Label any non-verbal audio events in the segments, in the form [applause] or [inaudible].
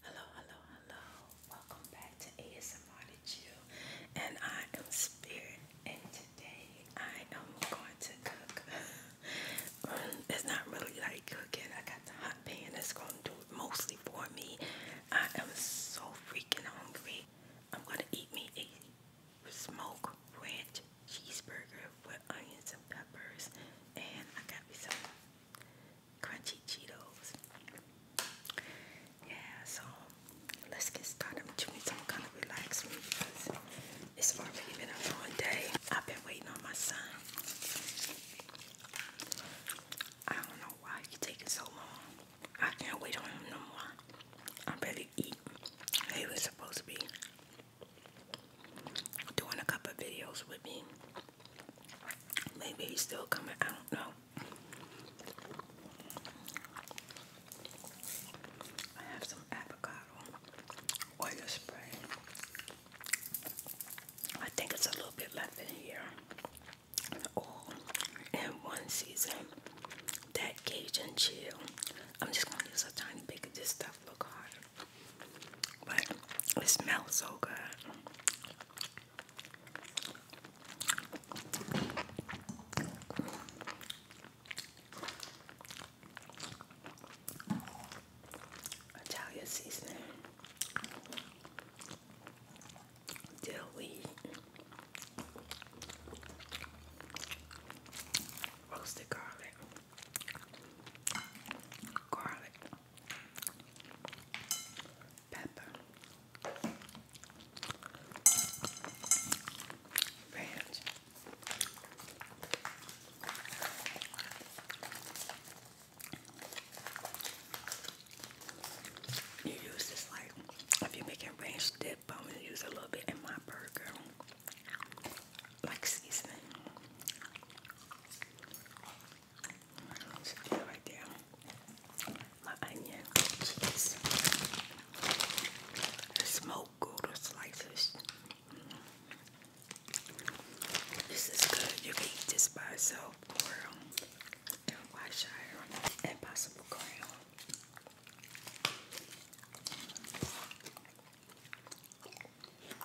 Hello, hello, hello. Welcome back to ASMR to Chill. And I am Spirit. And today I am going to cook. [laughs] Mm, it's not really like cooking. I got the hot pan that's going to do it mostly for me. I am so freaking hungry. I'm going to eat me a smoke ranch cheeseburger with onions and peppers. And I got me crunchy Cheetos. Yeah, so let's get started with chewing some kind of relax me because been a long day. I've been waiting on my son. I don't know why he taking so long. I can't wait on him no more. I'm eat. He was supposed to be doing a couple videos with me. Maybe he's still coming. I don't know. I have some avocado oil spray. I think it's a little bit left in here. All in one season. That Cajun chill. I'm just gonna use a tiny bit of this stuff. Look hard. But it smells so good. Italian seasoning, dill roasted garlic, garlic pepper, ranch, you use this like if you're making ranch dip, I'm gonna use a little bit in my burger, like seasoning. Should be right there. smoked gouda slices. This is good. You can eat this by itself or um, in Wyshire and possible crown.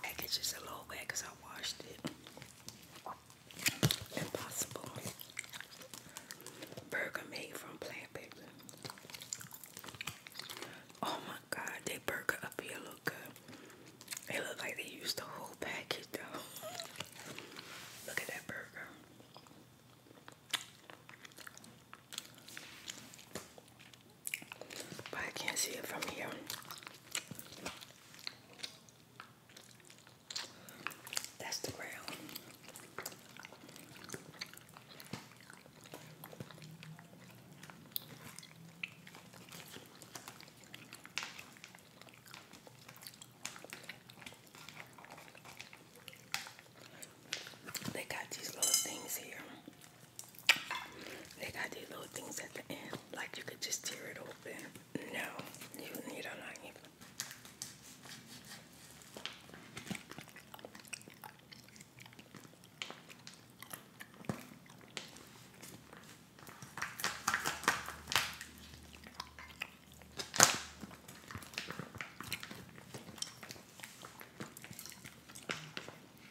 I think it's just a little wet because I washed it. Impossible. Burger made from plant paper. Oh my god, that burger up here look good. It look like they used the whole package though. [laughs] look at that burger but I can't see it from here. That's the ground. They got these little things here they got these little things at the end, like you could just tear it open. No, you need a knife.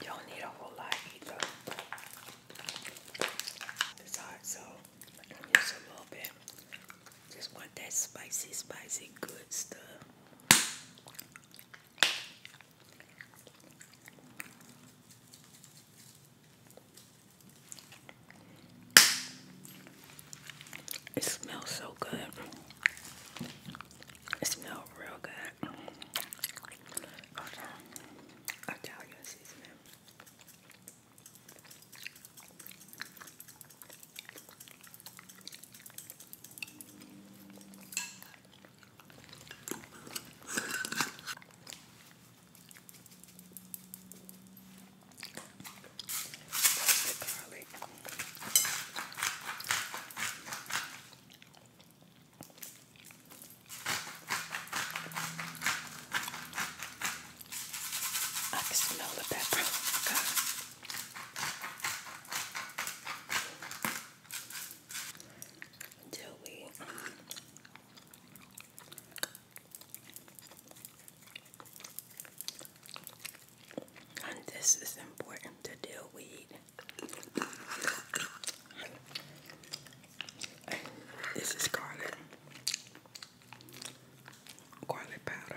You don't need a whole lot either. It's hot, so I'm just a little bit. Just want that spicy, spicy, good stuff. It smells so good. It smells real good. Italian seasoning. garlic. I can smell the pepper. God. Until we um, and this is important to deal weed. this is garlic. Garlic powder.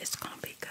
It's gonna be good.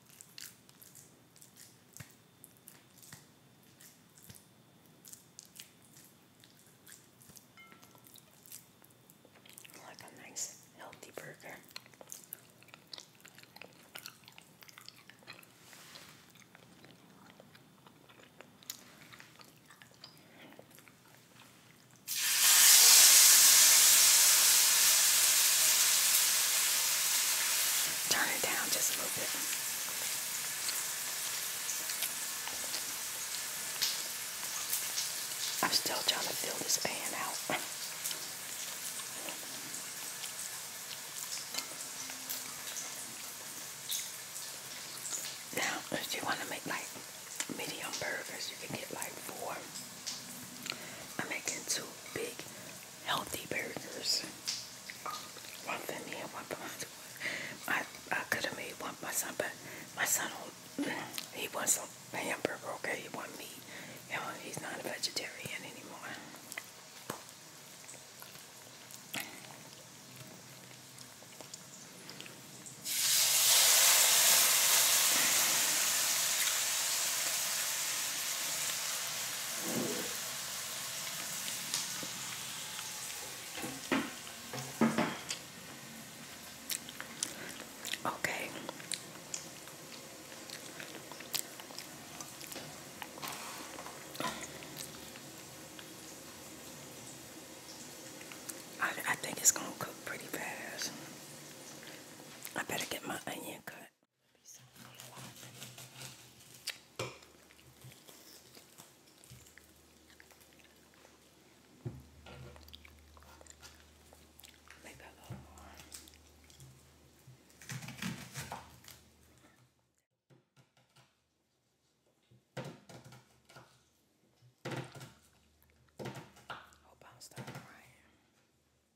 Like a nice healthy burger. Turn it down just a little bit. I'm still trying to fill this pan out. [laughs] now, if you want to make like medium burgers, you can get like four. I'm making two big healthy burgers. One for me and one for my I, I could have made one for my son, but my son, [clears throat] he wants a hamburger, okay? He wants meat. he's not a vegetarian anymore. Okay. I, I think it's going to cook pretty fast. I better get my onion cut. Hope I'll stop crying.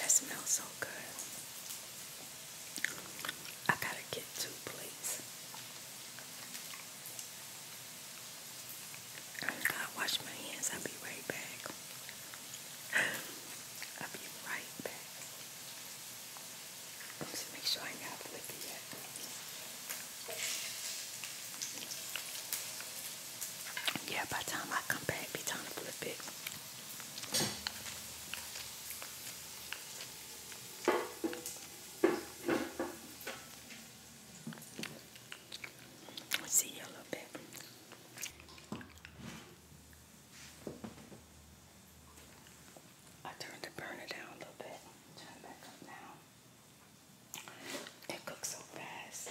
That smells so good. I gotta get two plates. I gotta wash my hands. I'll be right back. I'll be right back. Let's make sure I ain't got flippy yet. Yeah, by the time I come back, be time to flip it. See you a little bit. I turned the burner down a little bit. Turn it back up now. It cooks so fast.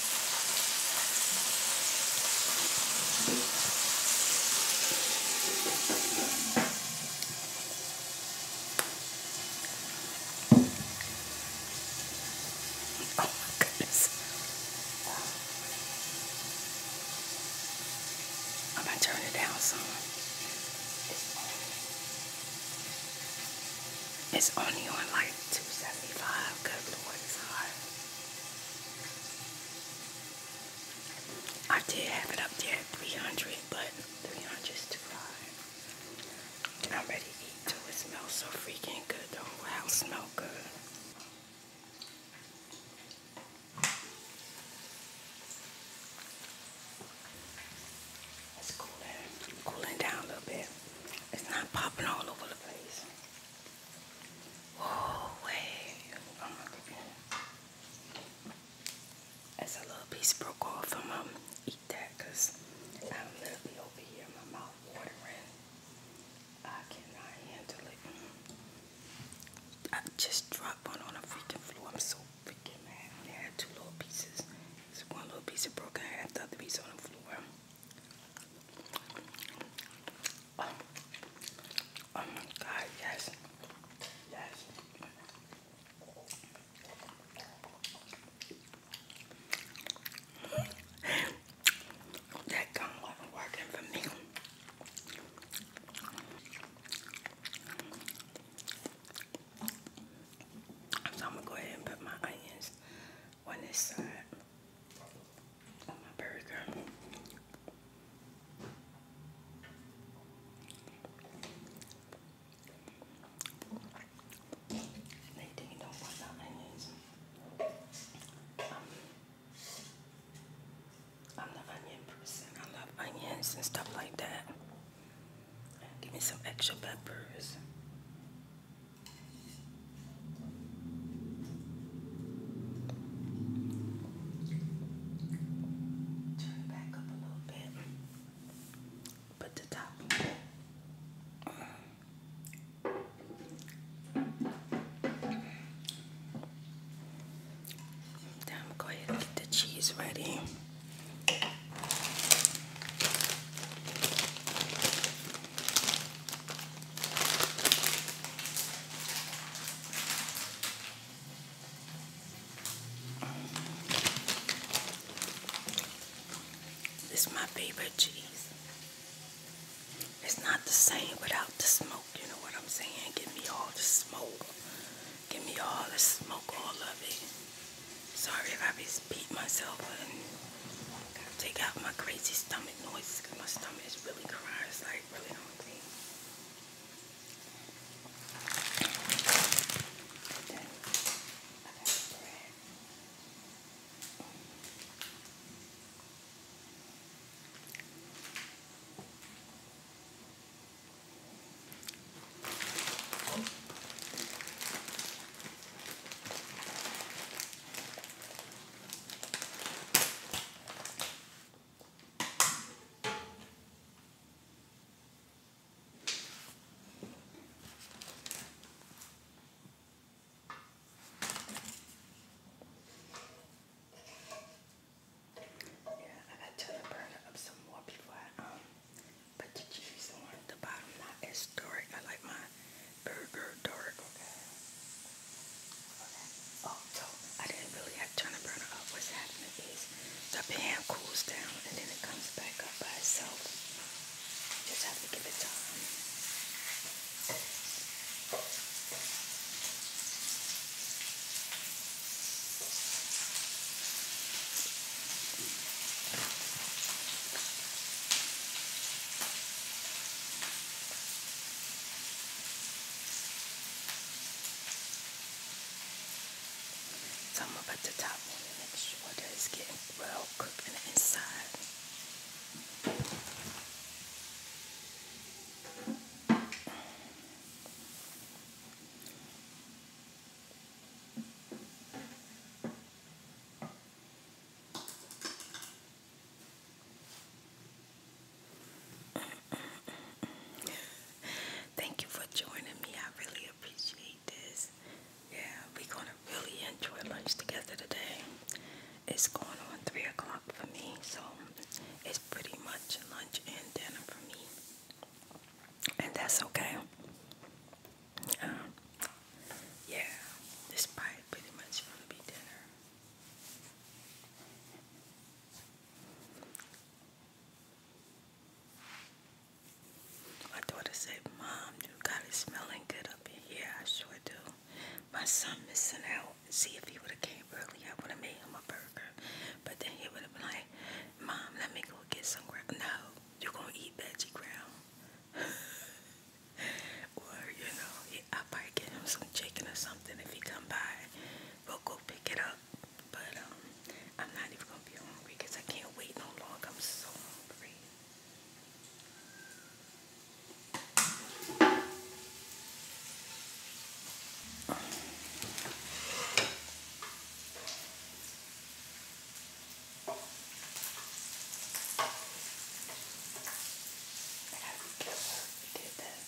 Oh my goodness. I'm gonna turn it down some. It's only on like 275. Good lord, it's hot. I did have it up there at 300, but 300 is too high. I'm ready to eat It smells so freaking good. The whole house smells good. It's cooling, cooling down a little bit. It's not popping all over the place. Oh, wait. That's a little piece broke off. I'm going to I'm literally over here. My mouth watering. I cannot handle it. I just dropped one on the freaking floor. I'm so freaking mad. I had two little pieces. It's one little piece of broken half, the other piece on the floor. Oh, oh, my God, yes, yes. [laughs] That gum wasn't working for me. So I'm gonna go ahead and put my onions on this side on my They didn't don't want the onions. I'm onion person. I love onions and stuff like that. Give me some extra peppers. Turn it back up a little bit. Put the top now I'm going to get the cheese ready. It's my favorite cheese. It's not the same without the smoke, you know what I'm saying? Give me all the smoke. Give me all the smoke, all of it. Sorry if I beating myself up take out my crazy stomach noise. because my stomach is really crying. It's like really hungry. Then yeah, I got to burn up some more before I um put the cheese on the bottom. Not as storic. I like my burger dark, okay? Oh, so I didn't really have to turn the burner up. What's happening is the pan cools down and then it comes back up by itself. Just have to give it time. So I'm about to put the top on and make sure that it's getting well cooked in the inside. Thank you for joining me. I really appreciate this. Yeah, we're gonna really enjoy lunch together today. It's going on three o'clock for me, so it's pretty much lunch and dinner for me, and that's okay. Um, yeah, this pie pretty much gonna be dinner. My daughter said, Mom, you got it smelling good up in here. I sure do. My son missing out. See, if he would have came early, I would have made him a burger. But then he would have been like, Mom, let me go get some ground. No, you going to eat veggie ground. [laughs] [laughs] or you know, I'll probably get him some chicken or something if he come by. We'll go pick it up. But um, I'm not even gonna be hungry I can't wait no longer. I'm so hungry. I got did that.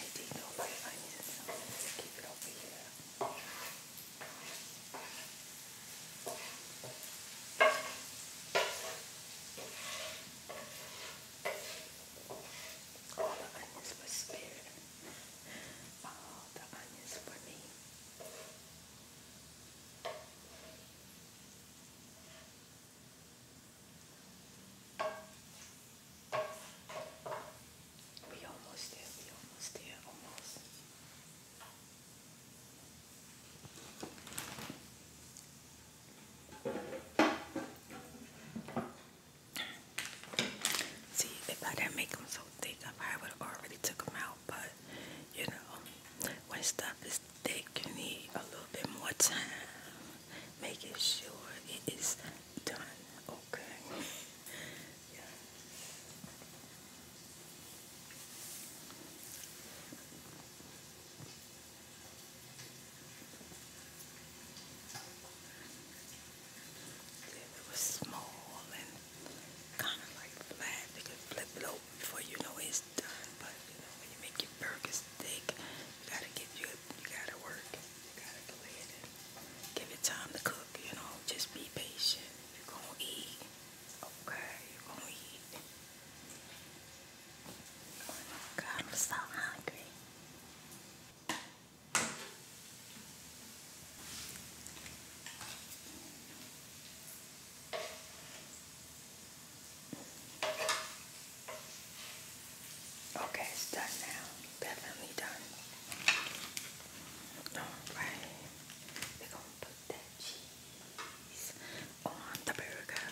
I did know my onions, so keep it over here. All the onions were spared. All the onions for me. We almost there, we almost there, almost. See, if I didn't make them so thick, I would have already took them out, but you know, when stuff is they can need a little bit more time making sure it is done. Okay. [laughs] yeah. it was small and kind of like flat. You could flip it before you know it is done, but you know, when you make your burgers thick, you gotta give you, you gotta work, you gotta go ahead and give it time to cook, you know, just be patient, you gonna eat, okay, you gonna eat. Oh my God, so hungry. Okay, it's done now. Definitely done. Alright. we gonna put that cheese on the burger.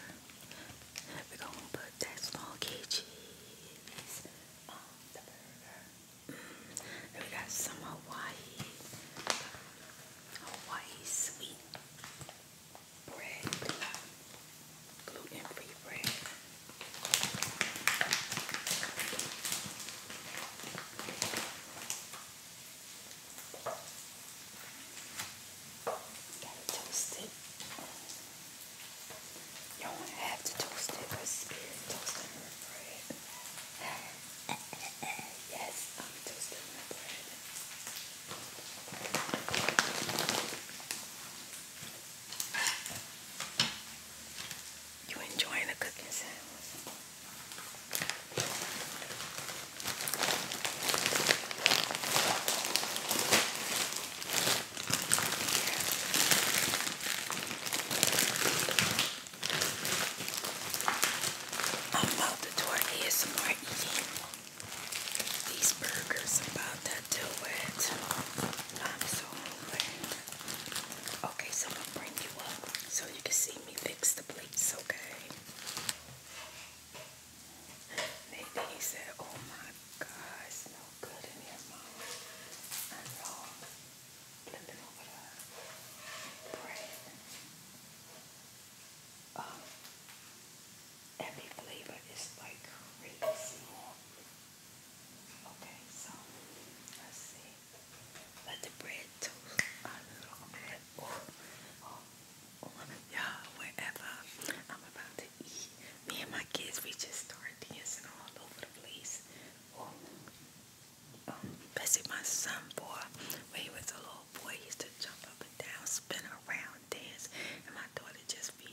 we gonna put that smoky cheese on the burger. Mm. we got some Hawaii Hawaii sweet bread, uh, gluten-free bread. Got it You do want to have to toast it, but spirit toasting bread yes, I'm toasting my bread. You enjoying the cooking sounds? I'm about to do it here eating. These burgers about to do it. I'm so hungry. Okay, so I'm bring you up so you can see me fix the plates, okay? Maybe he said, oh my god, it's no good in here, mom. I know. Flipping over the um, every flavor is like crazy. Okay, so let's see. Let the bread toast a oh, oh, oh, y'all, wherever I'm about to eat, me and my kids, we just start dancing all over the place. Bessie, my son boy, when he was a little boy, used to jump up and down, spin around, dance, and my daughter just be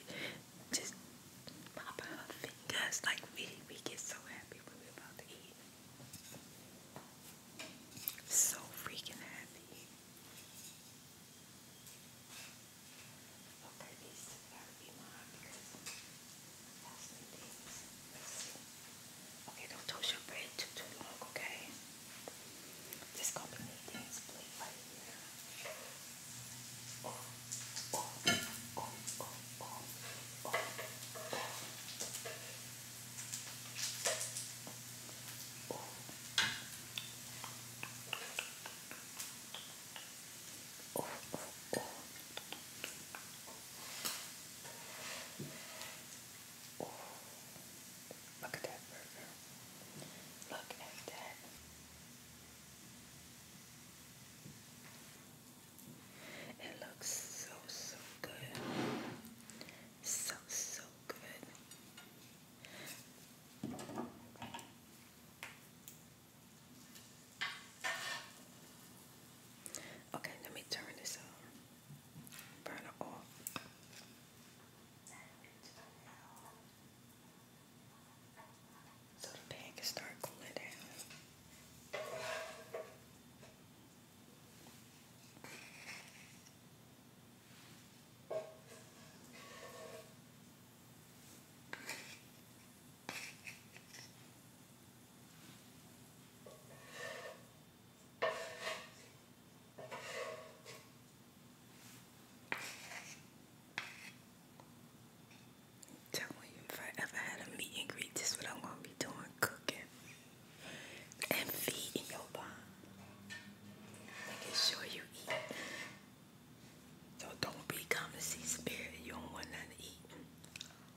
just popping her fingers like we we get so happy when we about to eat. So freaking happy. Okay, these gotta be mine because Okay, don't toast your bread too, too long, okay? This gonna be the dance plate oh look at that burger. Look at that. It looks so, so good. So, so good. Okay, let me turn this off. Burn it off. So the pan can start cooling down. Tell me if I ever had a meet and greet, this what I'm gonna be doing, cooking and feeding your bond. Making sure you eat. So don't be coming to spirit. You don't want nothing to eat.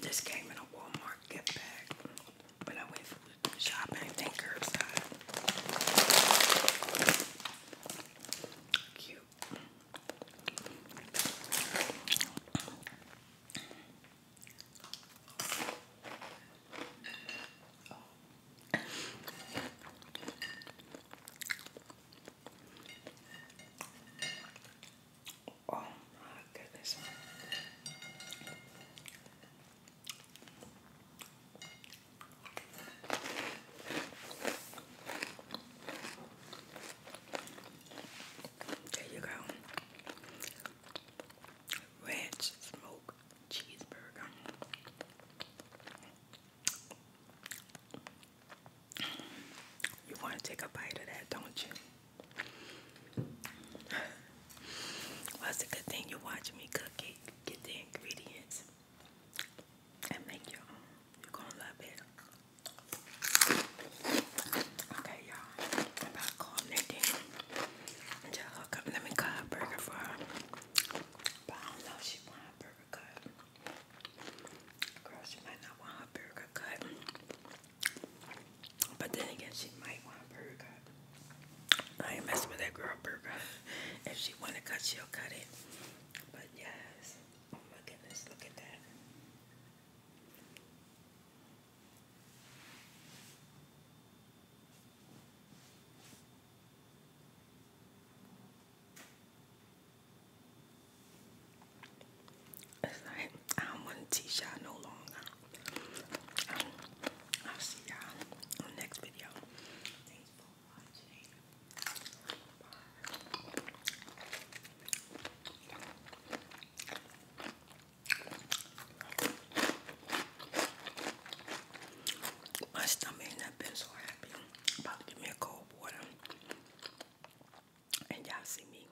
This came in a Walmart gift bag when I went from shopping and curbside. Cute. Oh my goodness. There you go. Ranch smoke cheeseburger. You want to take a bite of that, don't you? Well, a good thing you're watching me cook it. Get the ingredients and make your own. You're gonna love it. Okay, y'all. about to call Nadine and just hook up. Let me cut a burger for her. But I don't know if she want a burger cut. Girl, she might not want her burger cut. But then again, she might want a I ain't messing with that girl burger. If she want to cut, she'll cut it. But yes, oh my goodness, look at that. I don't want to no longer. I'll see y'all on the next video. Thanks for watching. My stomach ain't not been so happy. About to give me a cold water. And y'all see me